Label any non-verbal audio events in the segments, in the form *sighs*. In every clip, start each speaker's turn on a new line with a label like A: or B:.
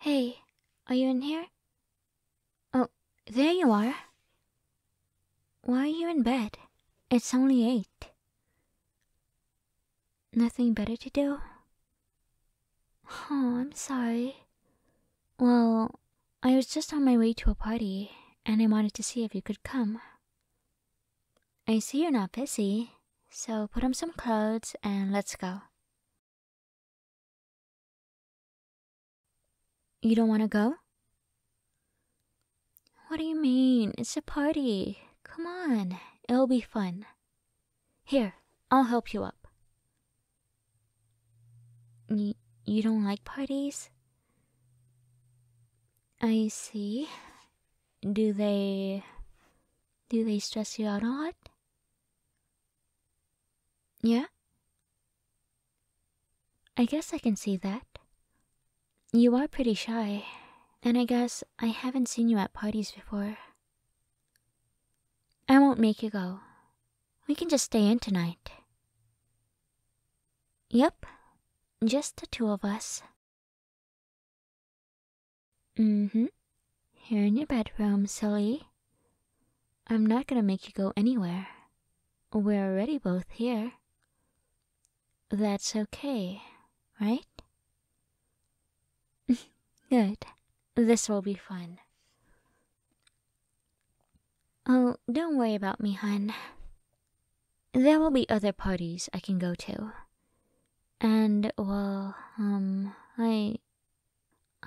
A: Hey, are you in here? Oh, there you are. Why are you in bed? It's only eight. Nothing better to do? Oh, I'm sorry. Well, I was just on my way to a party, and I wanted to see if you could come. I see you're not busy, so put on some clothes and let's go. You don't want to go? What do you mean? It's a party. Come on, it'll be fun. Here, I'll help you up. you don't like parties? I see. Do they. do they stress you out a lot? Yeah? I guess I can see that. You are pretty shy, and I guess I haven't seen you at parties before. I won't make you go. We can just stay in tonight. Yep, just the two of us. Mm hmm. Here in your bedroom, silly. I'm not gonna make you go anywhere. We're already both here. That's okay, right? *laughs* Good. This will be fun. Oh, don't worry about me, hun. There will be other parties I can go to. And, well, um, I.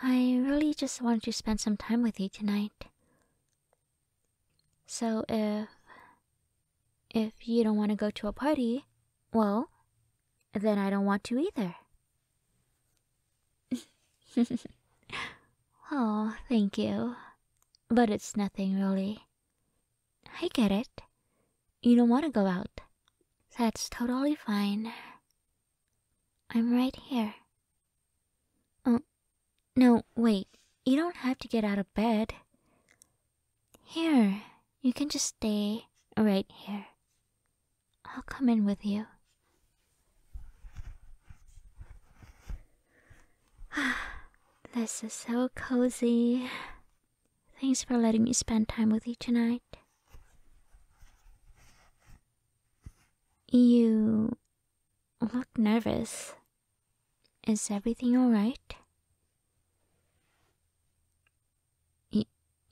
A: I really just wanted to spend some time with you tonight. So if. If you don't want to go to a party, well, then I don't want to either. *laughs* Oh, thank you. But it's nothing really. I get it. You don't want to go out. That's totally fine. I'm right here. Oh, no, wait. You don't have to get out of bed. Here, you can just stay right here. I'll come in with you. *sighs* this is so cozy. Thanks for letting me spend time with you tonight. You look nervous. Is everything alright?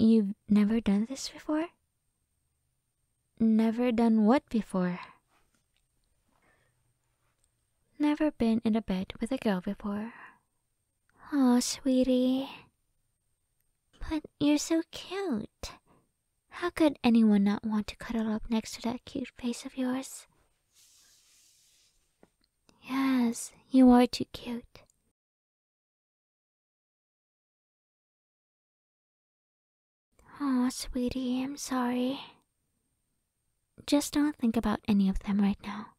A: You've never done this before? Never done what before? Never been in a bed with a girl before. Oh, sweetie. But you're so cute. How could anyone not want to cuddle up next to that cute face of yours? Yes, you are too cute. Oh, sweetie, I'm sorry. Just don't think about any of them right now.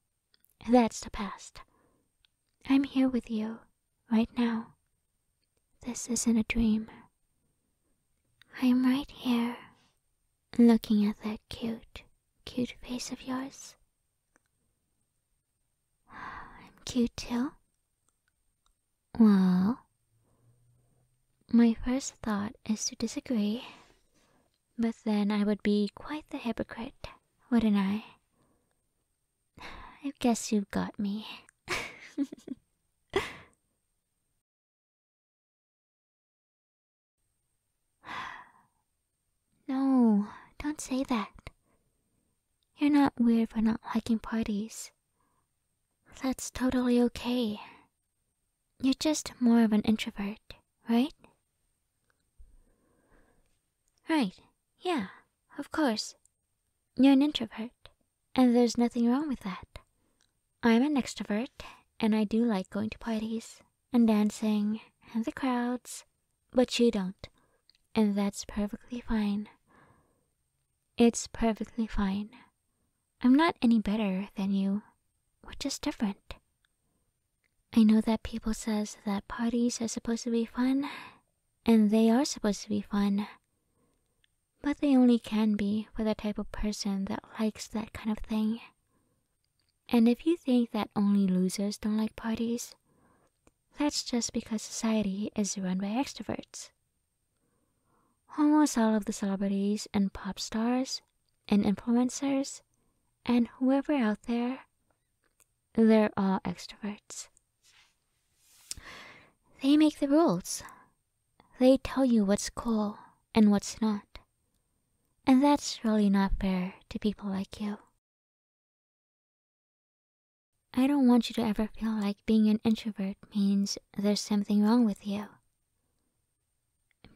A: That's the past. I'm here with you, right now. This isn't a dream. I'm right here, looking at that cute, cute face of yours. *sighs* I'm cute too, well, my first thought is to disagree, but then I would be quite the hypocrite, wouldn't I? I guess you've got me. *laughs* no, don't say that. You're not weird for not liking parties. That's totally okay. You're just more of an introvert, right? Right, yeah, of course. You're an introvert, and there's nothing wrong with that. I'm an extrovert, and I do like going to parties and dancing and the crowds, but you don't, and that's perfectly fine. It's perfectly fine. I'm not any better than you. We're just different. I know that people says that parties are supposed to be fun, and they are supposed to be fun. But they only can be for the type of person that likes that kind of thing. And if you think that only losers don't like parties, that's just because society is run by extroverts Almost all of the celebrities and pop stars and influencers and whoever out there, they're all extroverts. They make the rules. They tell you what's cool and what's not. And that's really not fair to people like you. I don't want you to ever feel like being an introvert means there's something wrong with you.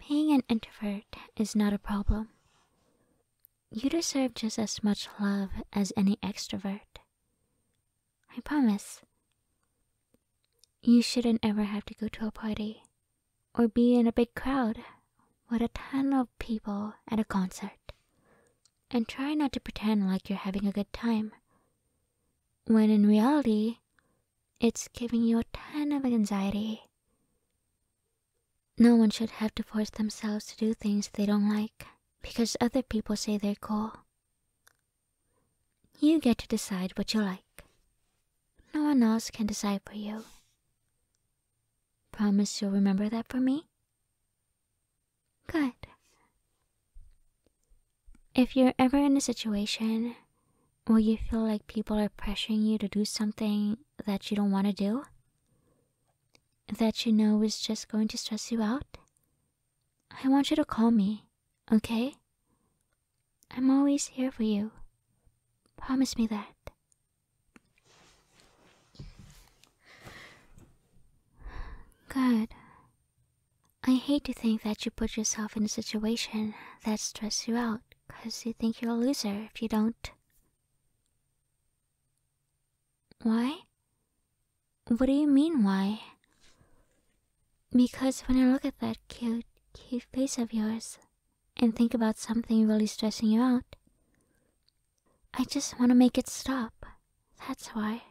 A: Being an introvert is not a problem. You deserve just as much love as any extrovert. I promise. You shouldn't ever have to go to a party or be in a big crowd with a ton of people at a concert. And try not to pretend like you're having a good time when in reality, it's giving you a ton of anxiety. No one should have to force themselves to do things they don't like because other people say they're cool. You get to decide what you like. No one else can decide for you. Promise you'll remember that for me? Good. If you're ever in a situation where you feel like people are pressuring you to do something that you don't want to do, that you know is just going to stress you out, I want you to call me, okay? I'm always here for you. Promise me that. Good. I hate to think that you put yourself in a situation that stresses you out because you think you're a loser if you don't. Why? What do you mean, why? Because when I look at that cute, cute face of yours and think about something really stressing you out, I just want to make it stop. That's why.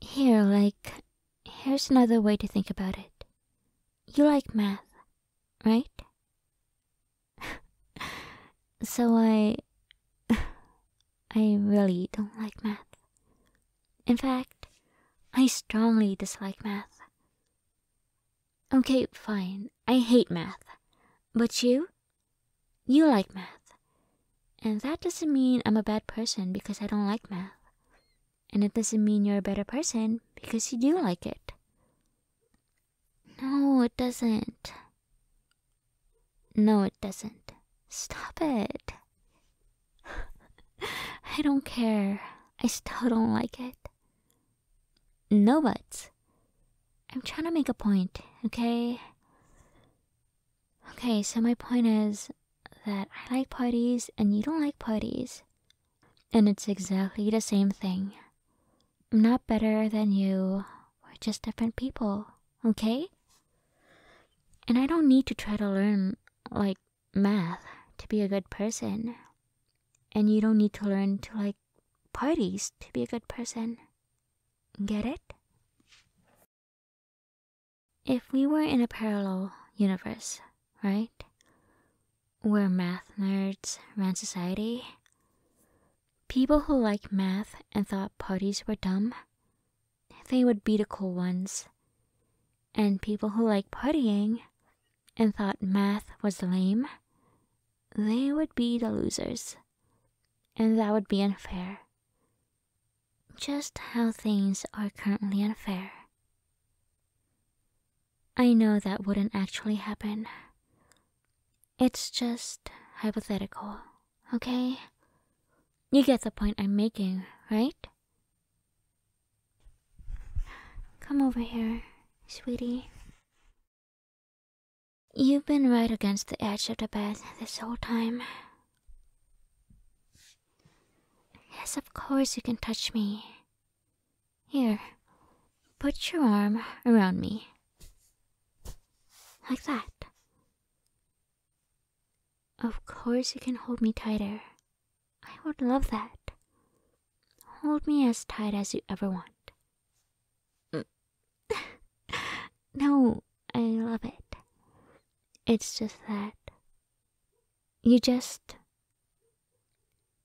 A: Here, like, here's another way to think about it. You like math, right? *laughs* so I. *laughs* I really don't like math. In fact, I strongly dislike math. Okay, fine. I hate math. But you? You like math. And that doesn't mean I'm a bad person because I don't like math. And it doesn't mean you're a better person because you do like it. No, it doesn't. No, it doesn't. Stop it. *laughs* I don't care. I still don't like it. No buts. I'm trying to make a point, okay? Okay, so my point is that I like parties and you don't like parties. And it's exactly the same thing. I'm not better than you. We're just different people, okay? And I don't need to try to learn, like, math to be a good person. And you don't need to learn to like parties to be a good person. Get it? If we were in a parallel universe, right? Where math nerds ran society, people who liked math and thought parties were dumb, they would be the cool ones. And people who liked partying and thought math was lame, they would be the losers, and that would be unfair. Just how things are currently unfair. I know that wouldn't actually happen. It's just hypothetical, okay? You get the point I'm making, right? Come over here, sweetie. You've been right against the edge of the bed this whole time. Yes, of course you can touch me. Here, put your arm around me. Like that. Of course you can hold me tighter. I would love that. Hold me as tight as you ever want. *laughs* no, I love it. It's just that. You just.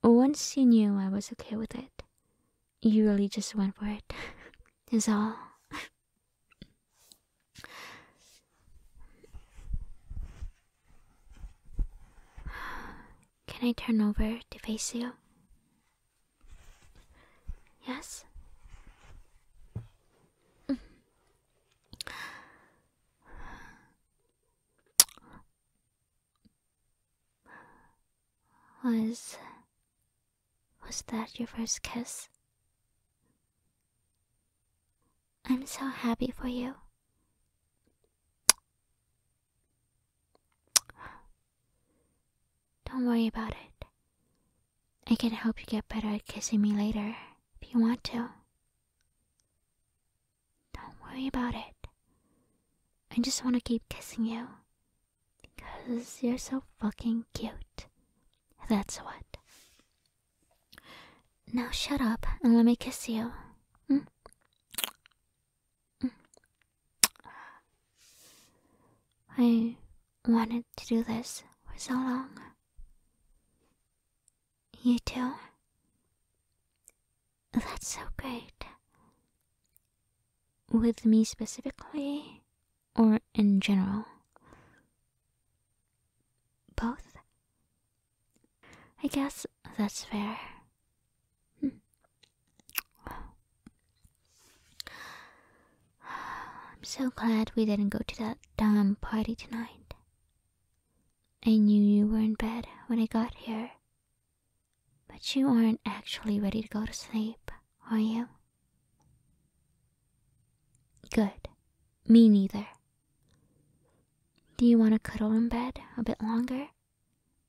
A: Once you knew I was okay with it, you really just went for it. *laughs* Is all. Can I turn over to face you? Yes? Was. Was that your first kiss? I'm so happy for you. Don't worry about it. I can help you get better at kissing me later if you want to. Don't worry about it. I just want to keep kissing you because you're so fucking cute. That's what. Now shut up and let me kiss you. Hmm? I wanted to do this for so long. You too? That's so great. With me specifically, or in general? Both? I guess that's fair. Hmm. *sighs* I'm so glad we didn't go to that damn party tonight. I knew you were in bed when I got here. But you aren't actually ready to go to sleep, are you? Good. Me neither. Do you want to cuddle in bed a bit longer?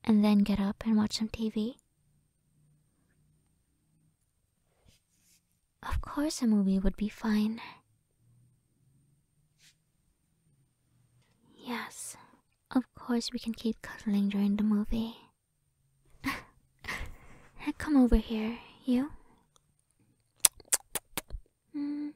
A: and then get up and watch some TV? Of course, a movie would be fine. Yes, of course, we can keep cuddling during the movie. *laughs* Come over here, you. Mm.